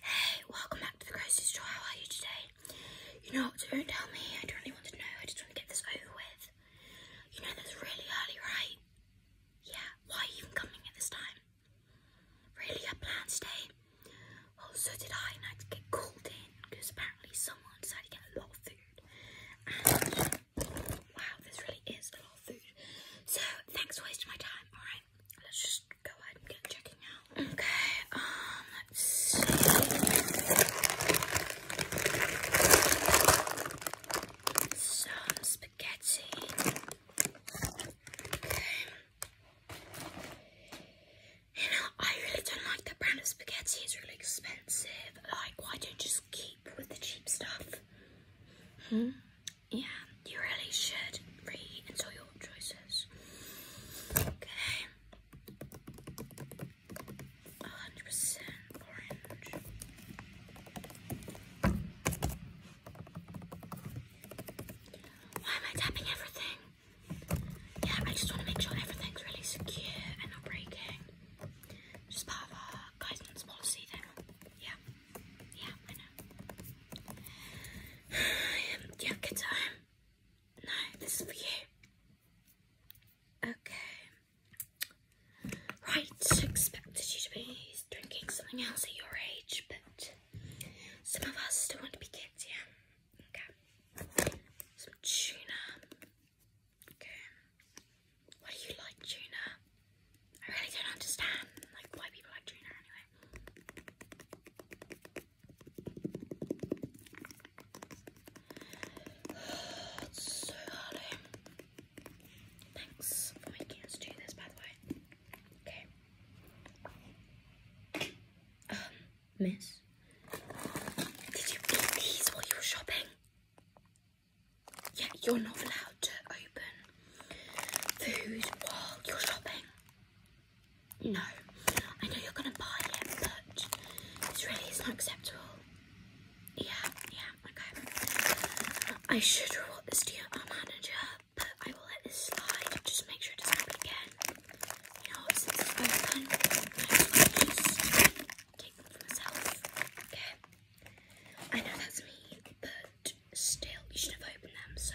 Hey, welcome back to the grocery store. How are you today? You know what, don't tell me. I don't really want to know. I just want to get this over with. You know that's really early, right? Yeah, why are you even coming at this time? Really, a planned today? Well, so did I, and to get called in because apparently someone decided to get a lot of food. And wow, this really is a lot of food. So, thanks for wasting my time, alright? let's just go ahead and get checking out. Okay, um, let's see. Some spaghetti. Okay. You know, I really don't like that brand of spaghetti. It's really expensive. Like, why don't just keep with the cheap stuff? Hmm? Yeah, you really should re and your choices. Okay. 100% orange. Why am I tapping everything? Yeah, I just want to make sure everything's really secure and not breaking. Just part of our guidance policy thing. Yeah. Yeah, why not? Um, do you No, this is for you. Okay. Right, expected you to be drinking something else at your age, but some of us still want to be kids, yeah? Okay. Some tuna. Okay. do you like tuna? I really don't understand, like, why people like tuna anyway so early. Thanks for making us do this, by the way. Okay. Um, miss, did you eat these while you were shopping? Yeah, you're not allowed to open food while you're shopping. No, I know you're going to buy it, but it's really it's not acceptable. Yeah, yeah, okay. I should report this to your manager, but I will let this slide. Just make sure it doesn't happen again. You know, since it's open, I just take them for myself. Okay. I know that's me, but still, you should have opened them, so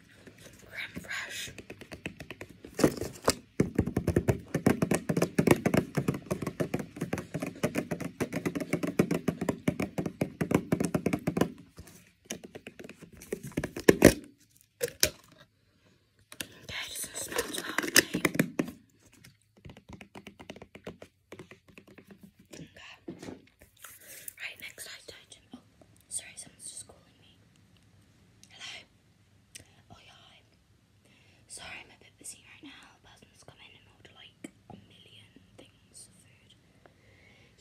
Creme Fraiche. Okay, so it smells Right, next I tighten. Oh, sorry, someone's just calling me. Hello. Oh yeah. Sorry, I'm a bit busy right now. A come in and ordered like a million things of food.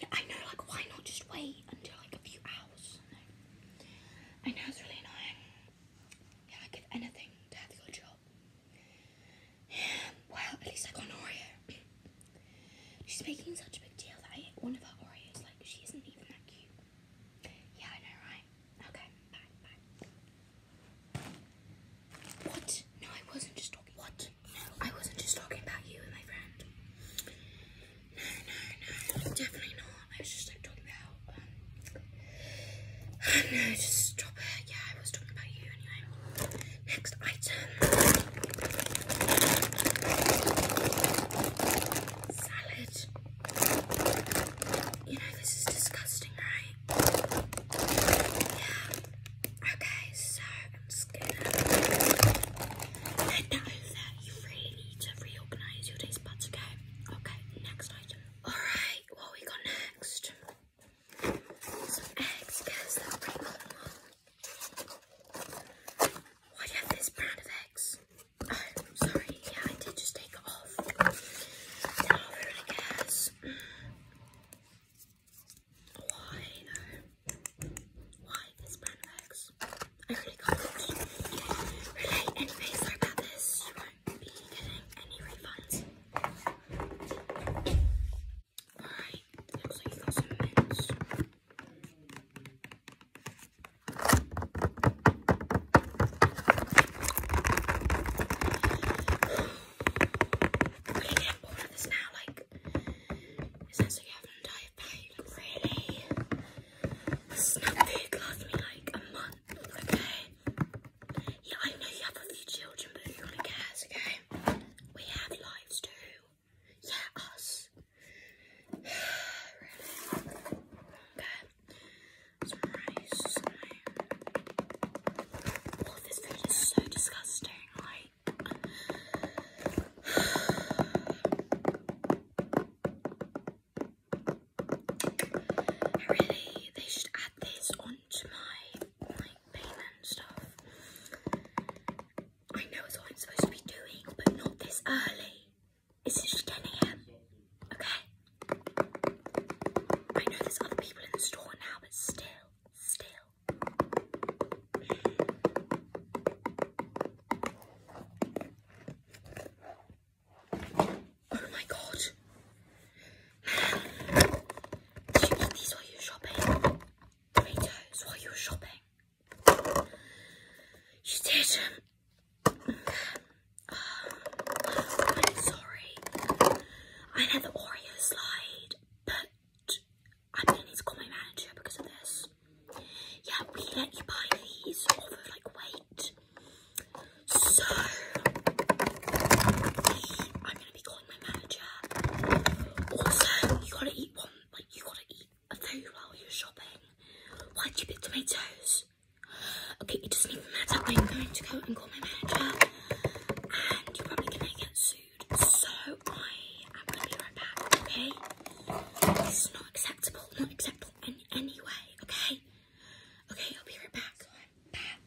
Yeah, I know. Like, why not just wait until like a few hours? I know it's really annoying. Yeah, I give anything to have a job. Yeah, well, at least I got an She's making such a big deal that I ate one of her Oreos. Like, she isn't even yeah, I know, right? Okay, bye, bye. What? No, I wasn't just talking. What? No, I wasn't just talking about you and my friend. No, no, no, definitely not. I was just like talking about. Um, no, just stop it. Yeah, I was talking about you anyway. Next item salad. You know, this is disgusting, right? Yeah. Okay, so i know that you really need to reorganize your taste okay? Okay, next item. Alright, what we got next? Some eggs, because brand of eggs? I'm sorry, yeah, I did just take off. Now I really guess. Why Why this brand of really can't relate anything like about this. You won't be getting any refunds. Alright, looks like you got some mints. I'm going bored of this now, like, it sounds like you have an entire bag, really? This is not big, last me like a month, okay? Yeah, I know you have a few children, but who really cares, okay? We have lives too. Yeah, us. Okay. Some rice. Oh, this food is so disgusting. Like. really, they should add this onto my payment stuff. I know it's what I'm supposed to be doing, but not this early. It's just getting a.m. Okay. I know there's other people in the store now, but still, still. Oh my god. Did you eat these while you were shopping? Tomatoes while you were shopping? You did. Um, I'm sorry. I had the Oreo slide, but I'm gonna need to call my manager because of this. Yeah, we let you buy these over like weight. So I'm gonna be calling my manager. Also, you gotta eat one. Like you gotta eat a food while you're shopping? Why'd you pick tomatoes? Okay, it doesn't even matter. I'm going to go and call my manager and you're probably going to get sued. So I am going to be right back, okay? this is not acceptable, not acceptable in any way, okay? Okay, I'll be right back. back.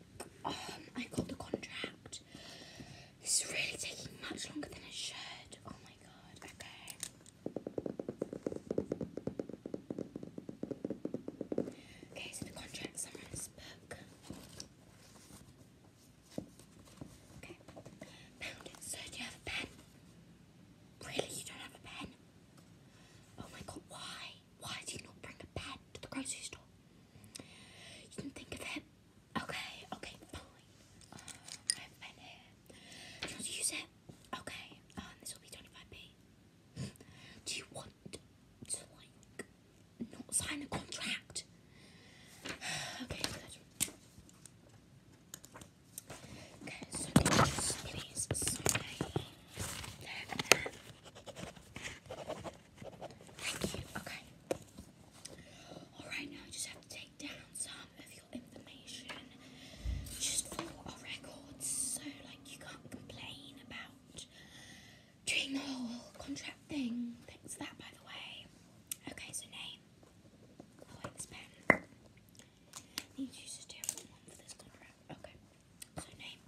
Um, I got the contract. This is really taking much longer than it should. Oh my god, okay. Okay, so the contracts are in this book. Okay, found it. So do you have a pen? Really, you don't have a pen? Oh my god, why? Why do you not bring a pen to the grocery store? You didn't think of it? Okay, okay, fine. I have a pen here. Do you want to use it? Okay, um, this will be 25p. Do you want to, like, not sign a contract? okay, good. Okay, so just please sign Thank you, okay. Alright, now just have to take down some of your information just for our records, so like you can't complain about doing the whole contract thing. Thanks for that, by the way. Okay, so name. Oh wait, this pen. I need to use one for this contract. Okay, so name.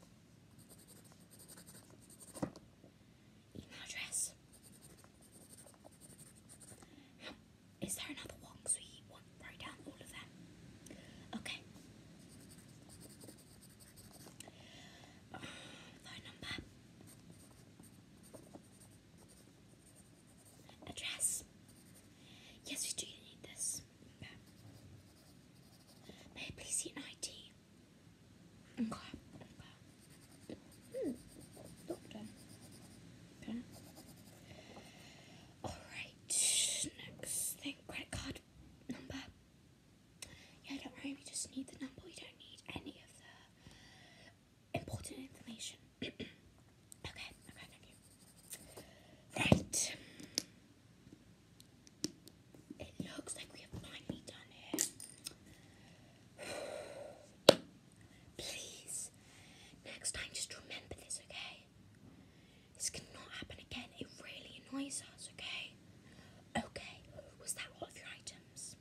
Email address. Is there another one? So we want write down all of them. Okay. phone number. Address. Yes, we do need this. May I please see an ID? okay. Hmm. Doctor. Okay. Alright, next thing, credit card number. Yeah, don't worry, we just need the number, we don't need any of the important information. okay, okay, thank you. Right. It looks like we have finally done it. Please. Next time, just remember this, okay? This cannot happen again. It really annoys us, okay? Okay, was that all of your items?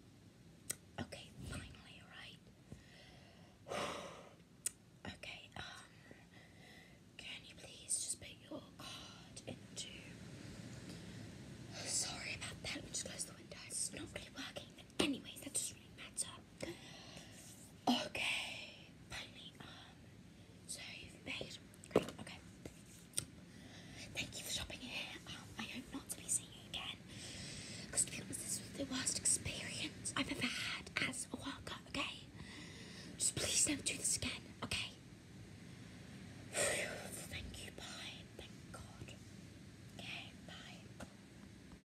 Okay, finally, alright? okay, um, can you please just put your card into. Sorry about that, let just close the window. It's not really working. Anyways, that doesn't really matter. Okay, finally, um, so you've paid. Great, okay. Thank you for shopping here. I hope not to be seeing you again. Because to be honest, this was the worst experience I've ever had as a worker, okay? Just please don't do this again, okay? Thank you, bye. Thank God. Okay, bye.